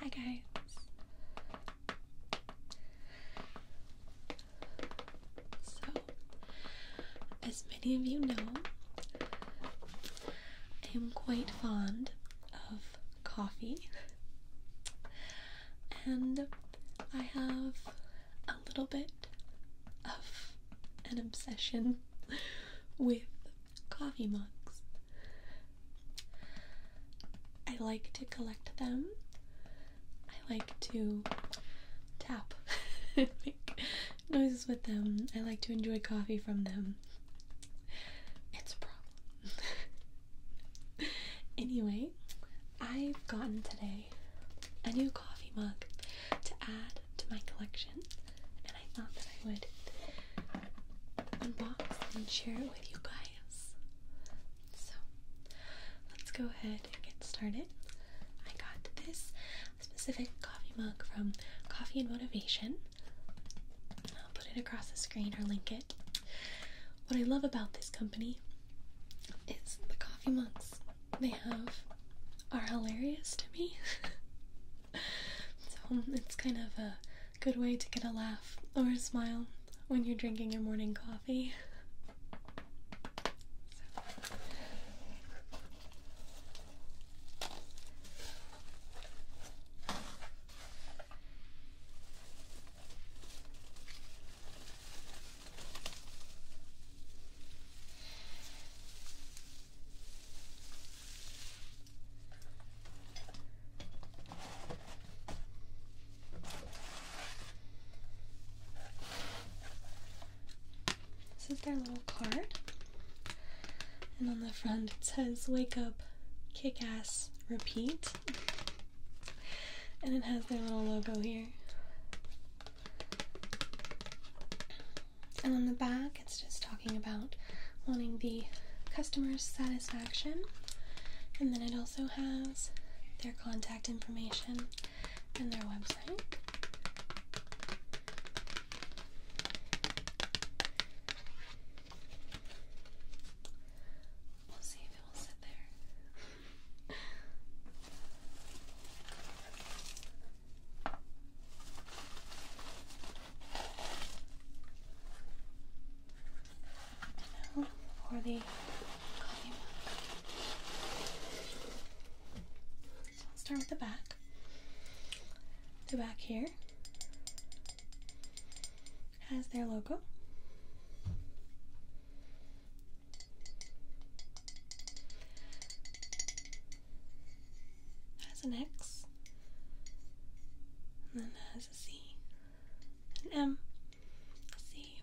Hi guys. So, as many of you know, I am quite fond of coffee. And I have a little bit of an obsession with coffee mugs. I like to collect them. I like to tap, make noises with them. I like to enjoy coffee from them. It's a problem. anyway, I've gotten today a new coffee mug to add to my collection, and I thought that I would unbox and share it with you guys. So, let's go ahead and get started. I got this specific coffee mug from Coffee and Motivation put it across the screen or link it. What I love about this company is the coffee mugs they have are hilarious to me. so it's kind of a good way to get a laugh or a smile when you're drinking your morning coffee. This is their little card. And on the front it says Wake Up, Kick Ass, Repeat. And it has their little logo here. And on the back, it's just talking about wanting the customer's satisfaction. And then it also has their contact information and their website. We'll see if it will sit there. And now for the coffee mug. So I'll start with the back. The back here has their logo. Has an X. And then has a C. An M. A C.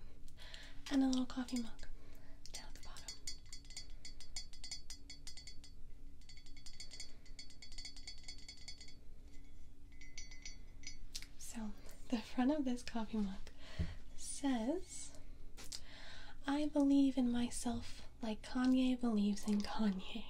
And a little coffee mug down at the bottom. So, the front of this coffee mug says, I believe in myself like Kanye believes in Kanye.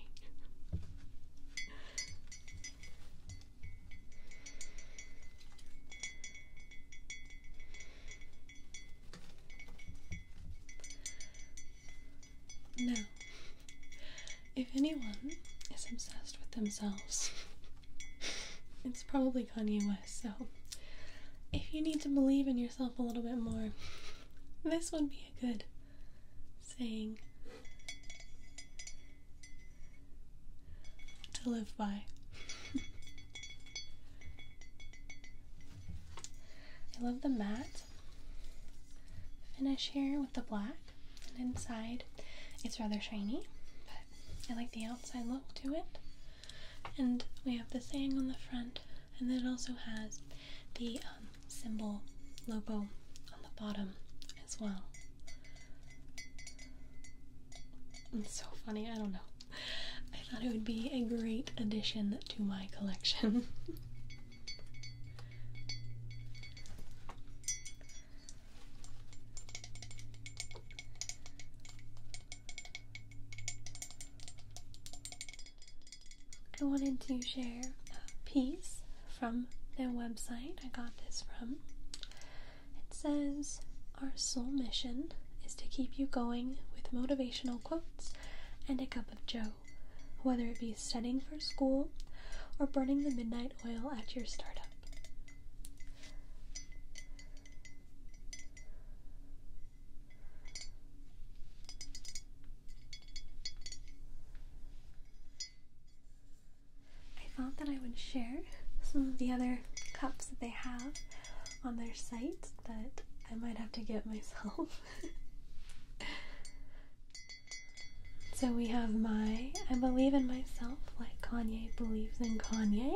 Now, if anyone is obsessed with themselves, it's probably Kanye West, so if you need to believe in yourself a little bit more, this would be a good saying to live by. I love the matte finish here with the black, and inside it's rather shiny, but I like the outside look to it. And we have the saying on the front, and then it also has the um, symbol logo on the bottom as well. It's so funny, I don't know. I thought it would be a great addition to my collection. I wanted to share a piece from their website. I got this from it says, Our sole mission is to keep you going with motivational quotes and a cup of joe, whether it be studying for school or burning the midnight oil at your startup. I thought that I would share some of the other cups that they have on their site that I might have to get myself. so we have my I believe in myself like Kanye believes in Kanye.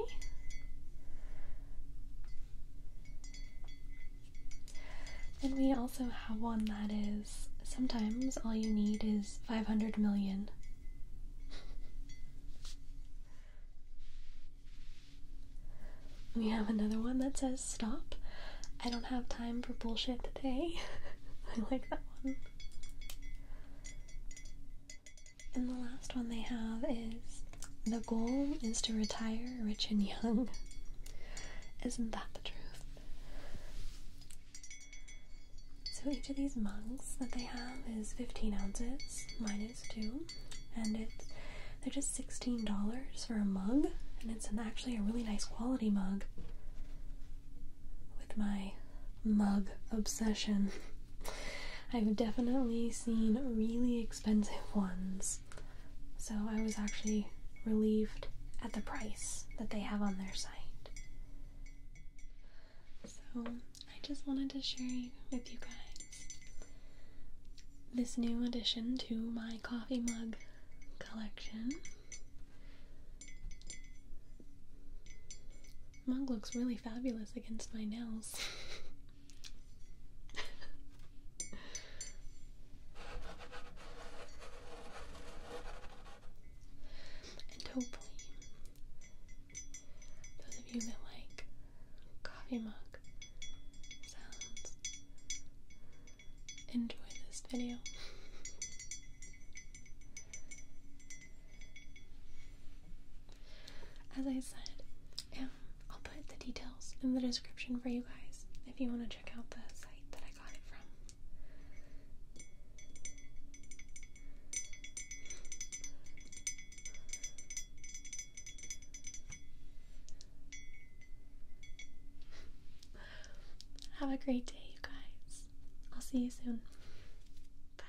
And we also have one that is sometimes all you need is 500 million. we have another one that says stop. I don't have time for bullshit today. I like that one. And the last one they have is the goal is to retire rich and young. Isn't that the truth? So each of these mugs that they have is 15 ounces. two, and it's they're just $16 for a mug, and it's actually a really nice quality mug. With my mug obsession, I've definitely seen really expensive ones so I was actually relieved at the price that they have on their site. So I just wanted to share with you guys this new addition to my coffee mug collection. Mug looks really fabulous against my nails. And hopefully, those of you that like coffee mug sounds enjoy this video. As I said, I I'll put the details in the description for you guys if you want to check out the site that I got it from. Have a great day, you guys. I'll see you soon. Bye.